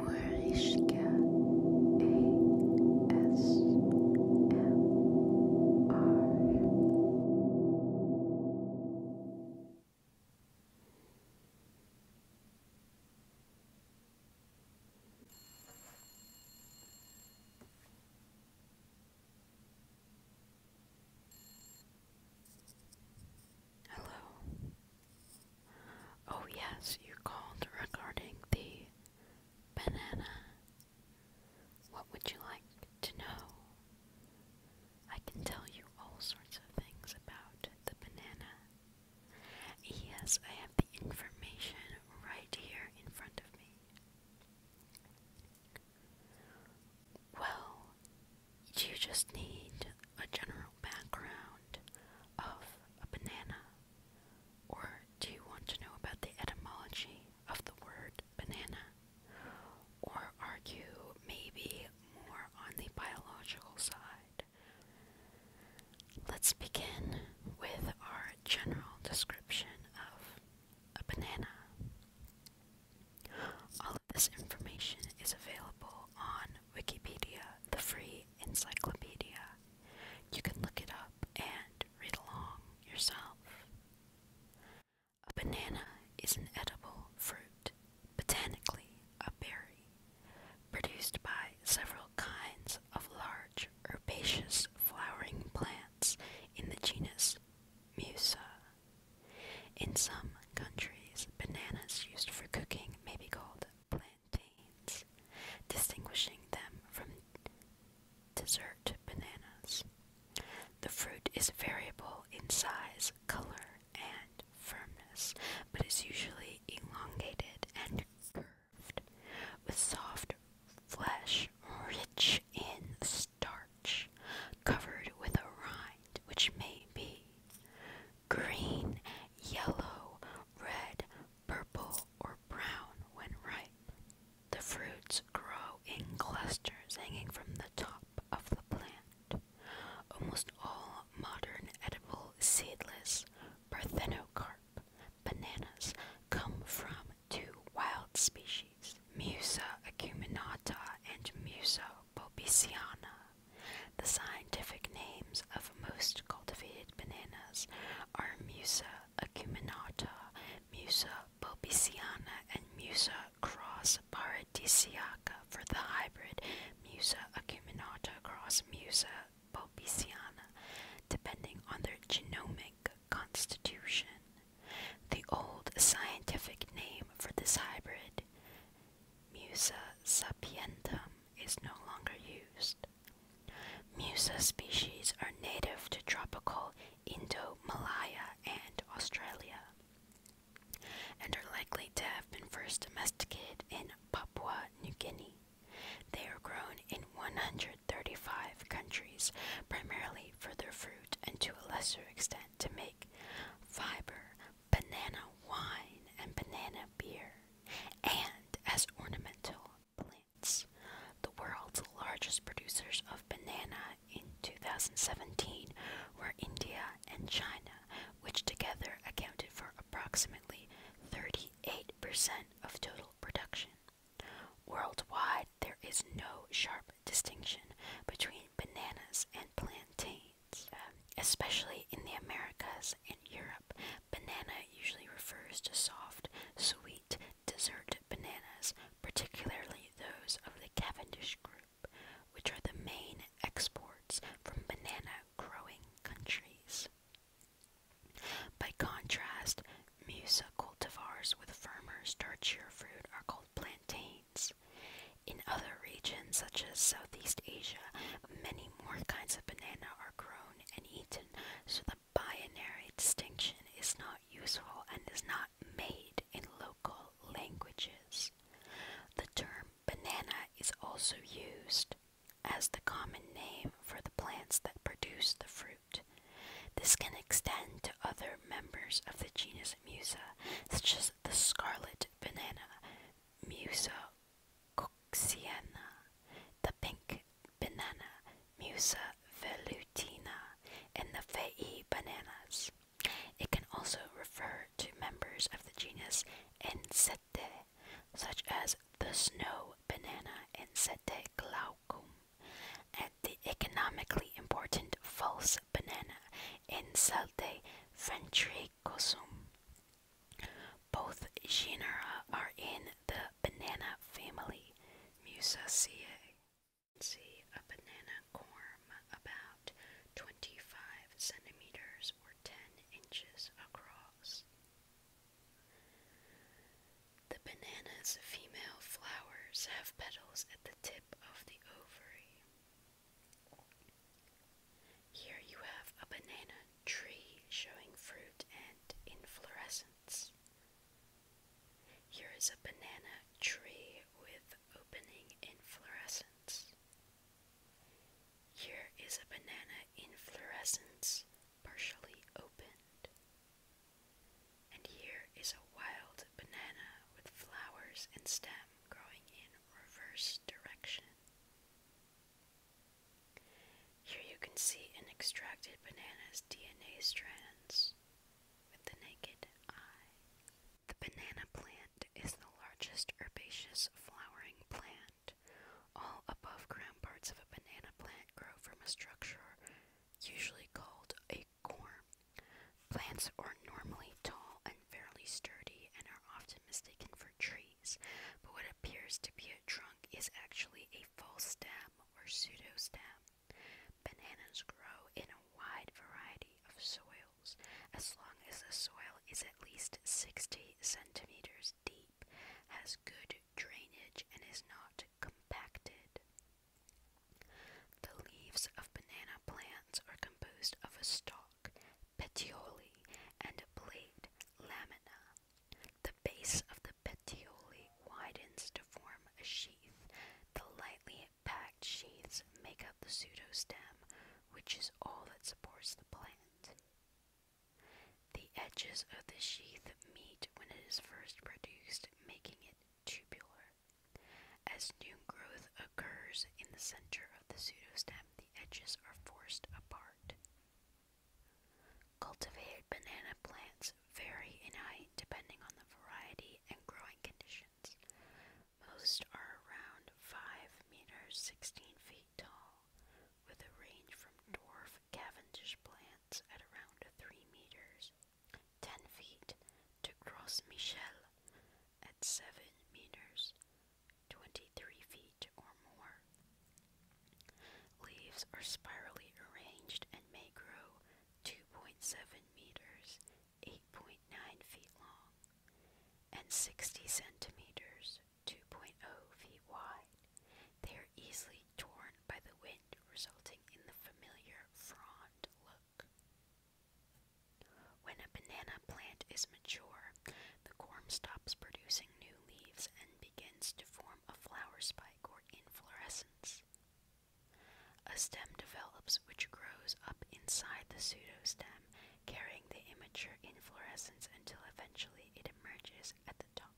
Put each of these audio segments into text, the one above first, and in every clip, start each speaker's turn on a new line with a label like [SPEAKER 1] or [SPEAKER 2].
[SPEAKER 1] Morishka ASMR Hello. Oh, yes, you called regarding the banana. What would you like to know? I can tell you all sorts of things about the banana. Yes, I have the information right here in front of me. Well, do you just need a general background of a banana, or do you want to know about the etymology of the word banana? Or are you maybe more on the biological side? Let's begin with our general description of a banana. All of this information is available on Wikipedia, the free encyclopedia. You can look it up and read along yourself. A banana is an edible fruit, botanically a berry, produced by several kinds of large herbaceous flowering plants in the genus Musa. In some countries, bananas used for cooking may be called plantains, distinguishing them from dessert bananas. The fruit is variable in size, color, and firmness, but is usually elongated and curved, with soft flesh rich in starch covered with a rind which may be green, yellow, red, purple, or brown when ripe. The fruits grow in clusters hanging from the top of the plant. Almost all modern edible seedless parthenocarp bananas come from two wild species. Musa acuminata and Musa bobiciana. The scientific names of most cultivated bananas are Musa acuminata, Musa bobiciana, and Musa cross paradisiaca for the hybrid Musa acuminata cross Musa bobiciana, depending on their genomic constitution. The old scientific name for this hybrid, Musa sapientum, is no longer used. Musa species are native to tropical Indo-Malaya and Australia, and are likely to have been first domesticated in Papua New Guinea. They are grown in 135 countries, primarily for their fruit and to a lesser extent to make fiber, banana wine, and banana beer, and as ornamental plants. The world's largest producers of banana in 2017 were India and China, which together accounted for approximately 38% of total production. Worldwide, there is no sharp distinction between bananas and plantains. Um, especially in the Americas and Europe, banana usually refers to soft, sweet, dessert bananas, particularly those of the Cavendish group, which are the main exports from banana growing countries. By contrast, Musa cultivars with firmer, starchier fruit are called plantains in other regions, such as Southeast Asia, many more kinds of banana are grown and eaten, so the binary distinction is not useful and is not made in local languages. The term banana is also used as the common name for the plants that produce the fruit. This can extend other members of the genus Musa, such as the scarlet banana, Musa coxiana, the pink banana, Musa velutina, and the fei bananas. It can also refer to members of the genus Ensete, such as the snow banana Ensete glaucum, at the economically important false banana in Salte Ventricosum. Both genera are in the banana family Musaceae. See a banana corm about 25 centimeters or 10 inches across. The banana's female flowers have petals at the tip tip of the ovary. Here you have a banana tree showing fruit and inflorescence. Here is a banana tree with opening inflorescence. Here is a banana inflorescence partially opened. And here is a wild banana with flowers and stem growing in reverse direction. Here you can see an extracted banana's DNA strands with the naked eye. The banana plant is the largest herbaceous flowering plant. All above ground parts of a banana plant grow from a structure usually called a core. Plants are normally tall and fairly sturdy and are often mistaken for trees, but what appears to be a trunk is actually a false stem or pseudostem. Bananas grow in a wide variety of soils as long as the soil is at least 60 centimeters deep, has good drainage, and is not compacted. The leaves of banana plants are composed of a stalk, petiole, and a blade, lamina. The base of the petiole widens to form a sheath. The lightly packed sheaths make up the pseudostem, which is all that supports the plant. The edges of the sheath meet when it is first produced, making it tubular. As new growth occurs in the center of the pseudostem, the edges are forced apart. Cultivated banana plants vary in height depending on the variety and growing conditions. Most are around 5 meters 16 feet tall, with a range from dwarf Cavendish plants at around 3 meters 10 feet to cross Michel at 7 meters, 23 feet or more. Leaves are spirally arranged and may grow 2.7 meters, 8.9 feet long, and 60 centimeters, 2.0 feet wide. They are easily torn by the wind, resulting in the familiar frond look. When a banana plant is mature, the corm stops producing new leaves and begins to form a flower spike or inflorescence. A stem develops which grows up inside the pseudostem, carrying the immature inflorescence until eventually it emerges at the top.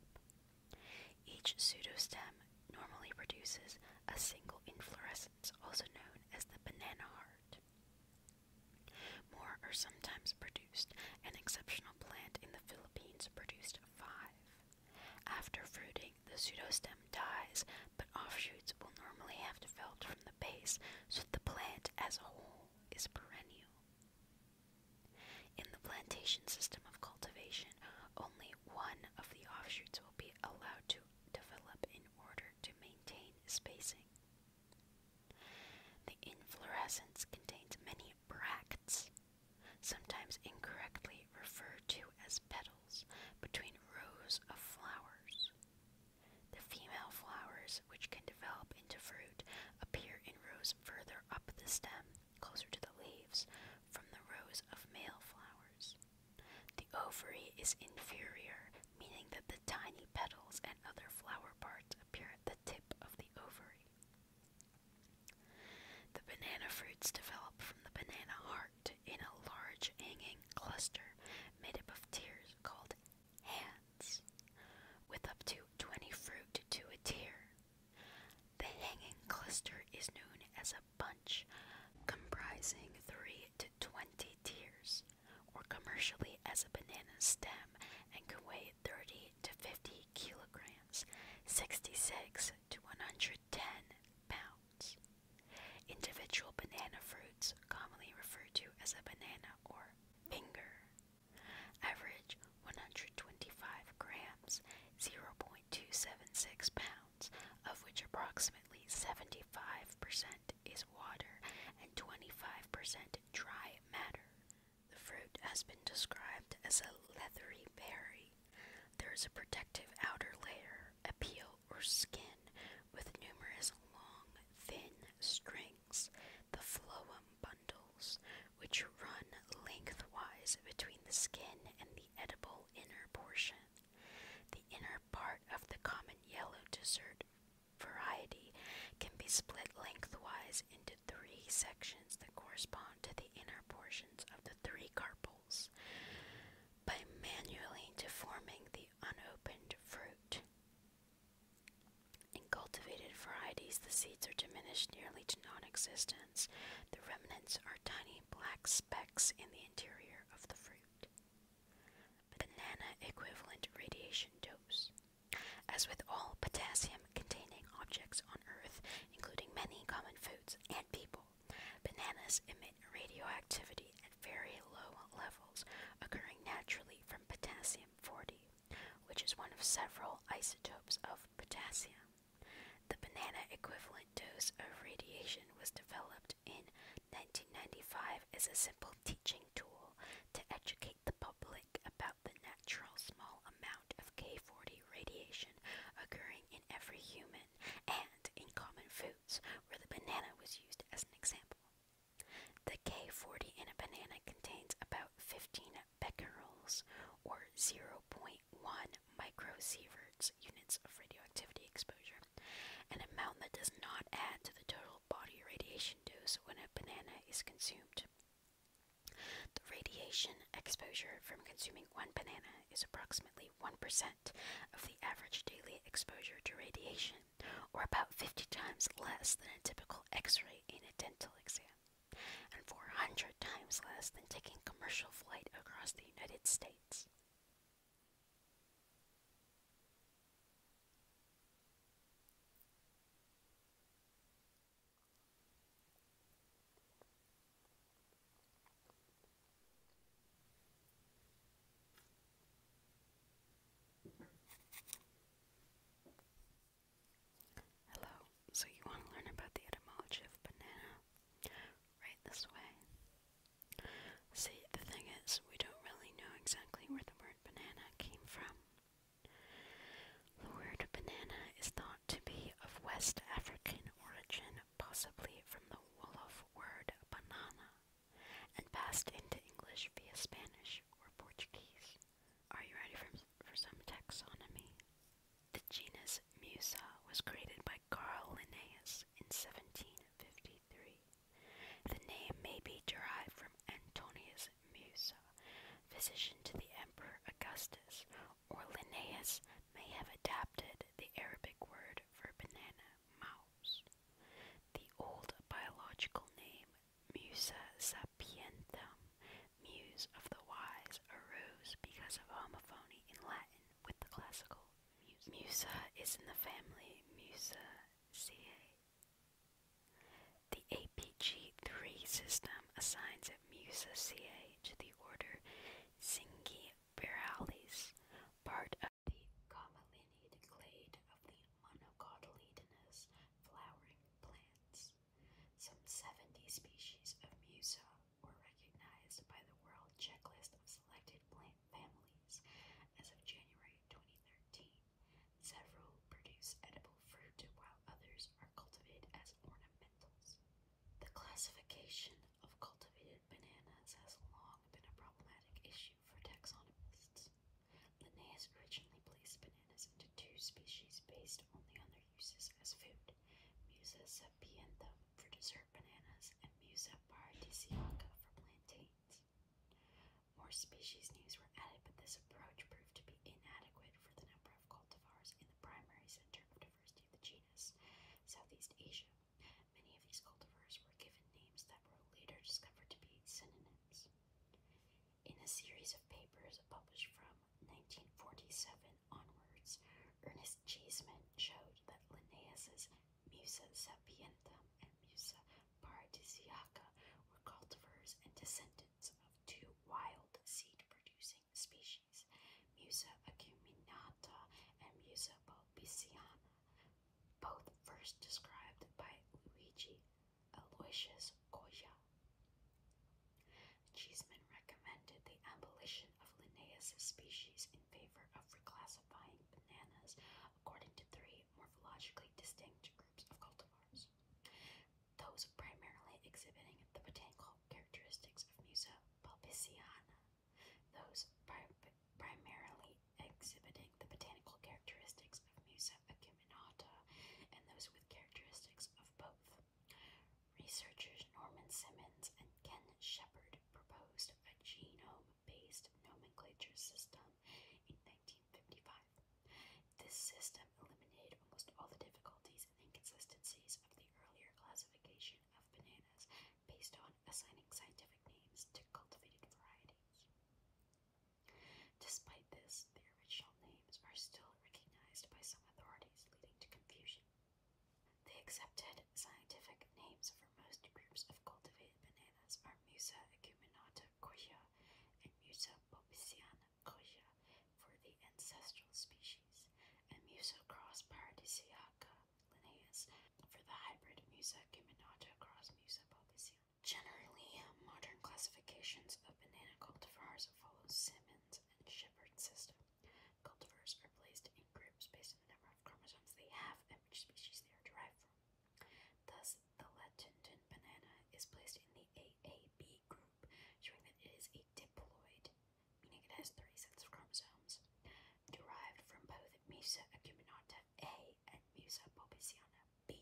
[SPEAKER 1] Each pseudostem normally produces a single inflorescence, also known as the banana heart. More are sometimes produced. An exceptional plant in the Philippines produced five. After fruiting, the pseudostem dies, but offshoots will normally have developed from the base, so the plant as a whole is perennial. In the plantation system of cultivation, only one of the offshoots will be allowed to develop in order to maintain spacing. The inflorescence contains many bracts, sometimes incorrectly referred to as petals, between rows of flowers. The female flowers, which can develop into fruit, appear in rows further up the stem closer to the leaves, from the rows of male flowers. The ovary is inferior, meaning that the tiny petals and other flower parts appear at the tip of the ovary. The banana fruits develop from the banana heart in a large hanging cluster made up of tiers called hands, with up to 20 fruit to a tier. The hanging cluster is known as a bunch, comprising 3 to 20 tiers, or commercially as a banana stem, and can weigh 30 to 50 kilograms, 66 to 110 pounds. Individual banana fruits, commonly referred to as a banana or finger, average 125 grams, 0.276 pounds, of which approximately 75% is water and 25% dry matter. The fruit has been described as a leathery berry. There is a protective outer layer, a peel or skin, with numerous long, thin strings. The phloem bundles, which run lengthwise between the skin and the edible inner portion. The inner part of the common yellow dessert variety can be split lengthwise into three sections that correspond to the inner portions of the three carpels by manually deforming the unopened fruit. In cultivated varieties, the seeds are diminished nearly to non existence. The remnants are tiny black specks in the interior of the fruit. Banana equivalent radiation dose. As with all potassium containing objects on Earth, including many common foods and people, bananas emit radioactivity at very low levels, occurring naturally from potassium 40 which is one of several isotopes of potassium. The banana equivalent dose of radiation was developed in 1995 as a simple teaching tool to educate the public about the natural small amount of K40 radiation occurring in every human and in common foods, where the banana was used as an example. The K40 in a banana contains about 15 becquerels or 0.1 microsieverts units of radioactivity exposure, an amount that does not add to the total body radiation dose when a banana is consumed. The radiation exposure from consuming one banana is approximately 1% of the average daily exposure to radiation, or about 50 times less than a typical x ray in a dental exam and 400 times less than taking commercial flight across the United States. Hello, so you want to learn about the etymology of banana? Right this way. See, the thing is, we don't really know exactly where the word banana came from. The word banana is thought to be of West African origin, possibly from the Wolof word banana, and passed into English via Spanish or Portuguese. Are you ready for, for some taxonomy? The genus Musa was created by Carl Linnaeus in 1753. The name may be derived from Antonius Musa, physician to the Emperor Augustus, or Linnaeus may have adapted the Arabic word for banana, mouse. The old biological name Musa sapientum, muse of the wise, arose because of homophony in Latin with the classical music. Musa is in the family Musaceae. The APG3 system assigns it Musaceae to the order Zingiberalis, part of the Camelinidae clade of the monocotyledonous flowering plants. Some 70 species of Musa were recognized by the World Checklist of Selected Plant Families as of January 2013. Several produce edible fruit while others are cultivated as ornamentals. The classification of cultivated bananas has long been a problematic issue for taxonomists. Linnaeus originally placed bananas into two species based only on their uses as food, Musa sapientum for dessert bananas and Musa paradisiaca for plantains. More species names were added, but this approach proved to be inadequate for the number of cultivars in the primary center of diversity of the genus, Southeast Asia. Many of these cultivars were given names that were later discovered to be synonyms. In a series of papers published from 1947 onwards, Ernest Cheeseman showed that Linnaeus's Musa sapientum and Musa paradisiaca were cultivars and descendants of two wild seed-producing species, Musa acuminata and Musa bulbiciana, both first described by Luigi Aloysius Goya. Cheeseman recommended the abolition of Linnaeus' species in favor of reclassifying bananas according to three morphologically distinct groups of cultivars, those primarily exhibiting the botanical characteristics of Musa pulpiciana, those primarily exhibiting the botanical characteristics of Musa acuminata. Minata, and those with characteristics of both. Researchers Norman Simmons and Ken Shepard proposed a genome based nomenclature system in 1955. This system eliminated almost all the difficulties and inconsistencies of the earlier classification of bananas based on assigning scientific names to cultivated varieties. Despite this, the original names are still recognized by some authorities, leading to confusion. The accepted scientific names for most groups of cultivated bananas are Musa acuminata coya and Musa bobiciana coya for the ancestral species, and Musa cross paradisiaca Linnaeus for the hybrid Musa acuminata cross Musa bobiciana. Generally, modern classifications of banana cultivars follow Simmons and Shepard system. Cultivars are placed in groups based on the number of chromosomes they have and which species they are derived from. Thus, the Latintin banana is placed in the AAB group, showing that it is a diploid, meaning it has three sets of chromosomes, derived from both and acuminata a and Musa Popiciana B.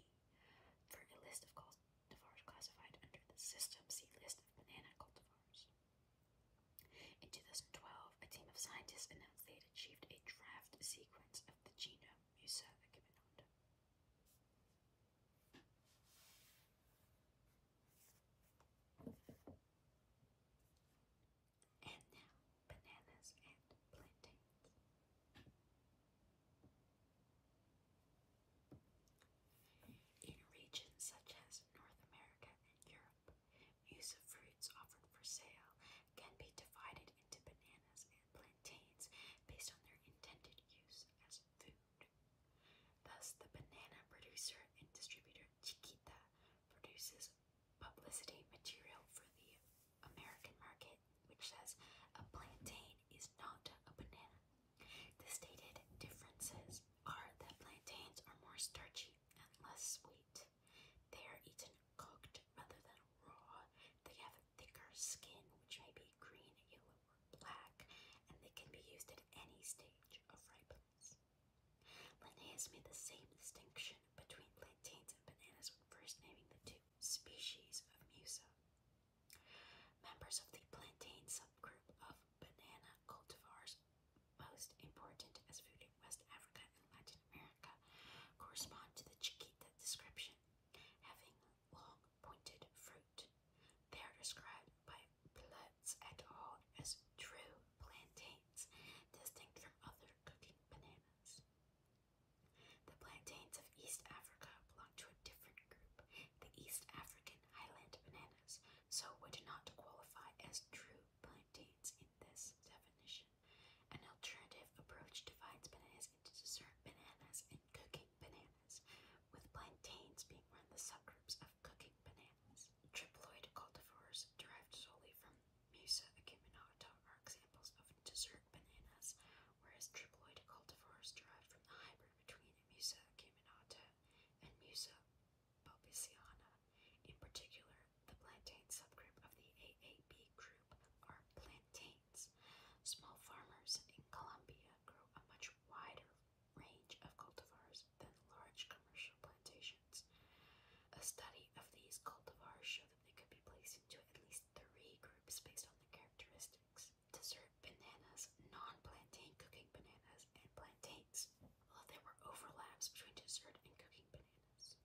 [SPEAKER 1] For a list of cultivars classified under the system, see List of banana cultivars. In 2012, a team of scientists announced they had achieved a draft sequence of the genome Musa acuminata. And now, bananas, and plantains. In regions such as North America and Europe, use of fruits offered for sale can be divided into bananas and plantains based on their intended use as food. Thus, the banana producer and distributor Chiquita produces publicity material for the American market which says a plantain is not a banana. The stated differences are that plantains are more starchy and less sweet. They are eaten cooked rather than raw. They have a thicker skin, which may be green, yellow, or black, and they can be used at any stage of ripeness. Linnaeus made the same distinction between plantains and bananas when first naming the two species of Musa. Members of the plantain subgroup of banana cultivars, most important as food in West Africa and Latin America, correspond to the chiquita description, having long pointed fruit. They are described by Plutz et al. as true plantains, distinct from other cooking bananas. The plantains of East Africa belong to a different group, the East African highland bananas, so would not qualify as true plantains in this definition. An alternative approach divides bananas into dessert bananas and cooking bananas, with plantains being one of the subgroups of cooking bananas. Triploid cultivars derived solely from Musa acuminata are examples of dessert bananas, whereas triploid cultivars derived from the hybrid between Musa acuminata and Musa bulbiciana. In particular, the plantain subgroup of the AAB group are plantains. Small farmers in Colombia grow a much wider range of cultivars than large commercial plantations. A study of these cultivars showed they could be placed into at least three groups based on their characteristics. Dessert bananas, non-plantain cooking bananas, and plantains, although there were overlaps between dessert and cooking bananas.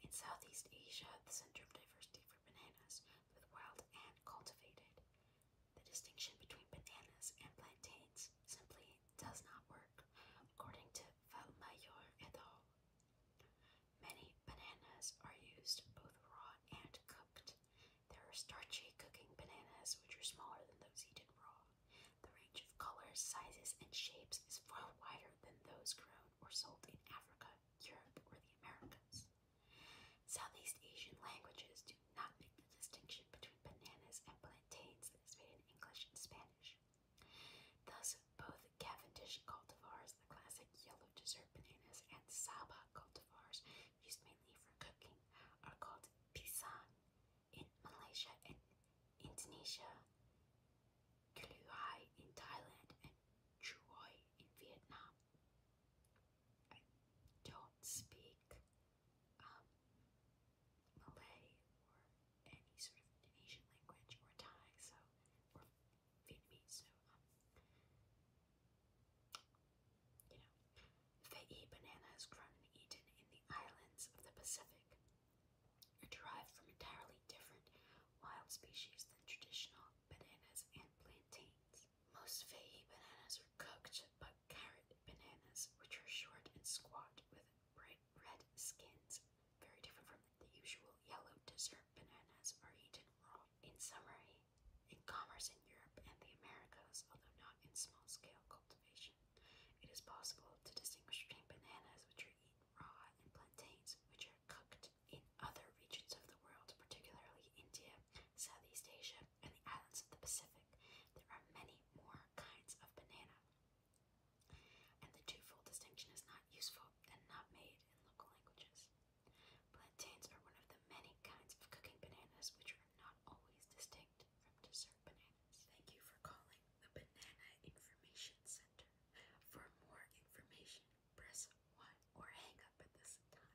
[SPEAKER 1] In Southeast Asia, the center of diversity for bananas, both wild and cultivated. The distinction between bananas and plantains simply does not work, according to Valmayor et al. Many bananas are used both raw and cooked. There are starchy cooking bananas, which are smaller than those eaten raw. The range of colors, sizes, and shapes is far wider than those grown or sold in Africa, Europe, or the Americas. Southeast Asian languages do not make the distinction between bananas and plantains that is made in English and Spanish. Thus, both Cavendish cultivars, the classic yellow dessert bananas, and Sabah cultivars, used mainly for cooking, are called pisang in Malaysia and Indonesia, kluai in Thailand, and choy in Vietnam. I don't speak um, Malay any sort of Indonesian language or Thai, so or Vietnamese, so um, you know, fei banana is grown and eaten in the islands of the Pacific. Are derived from entirely different wild species than traditional bananas and plantains. Most fei bananas are cooked, but carrot bananas, which are short and squat with bright red skins, very different from the usual yellow dessert bananas, are eaten raw. In summary, in commerce in Europe and the Americas, although not in small scale cultivation, it is possible to distinguish between bananas, which are eaten raw, and plantains, which are cooked. In other regions of the world, particularly India, Southeast Asia, and the islands of the Pacific, there are many more kinds of banana and the twofold distinction is not useful and not made in local languages. Plantains are one of the many kinds of cooking bananas which are not always distinct from dessert bananas. Thank you for calling the Banana Information Center. For more information, press 1 or hang up at this time.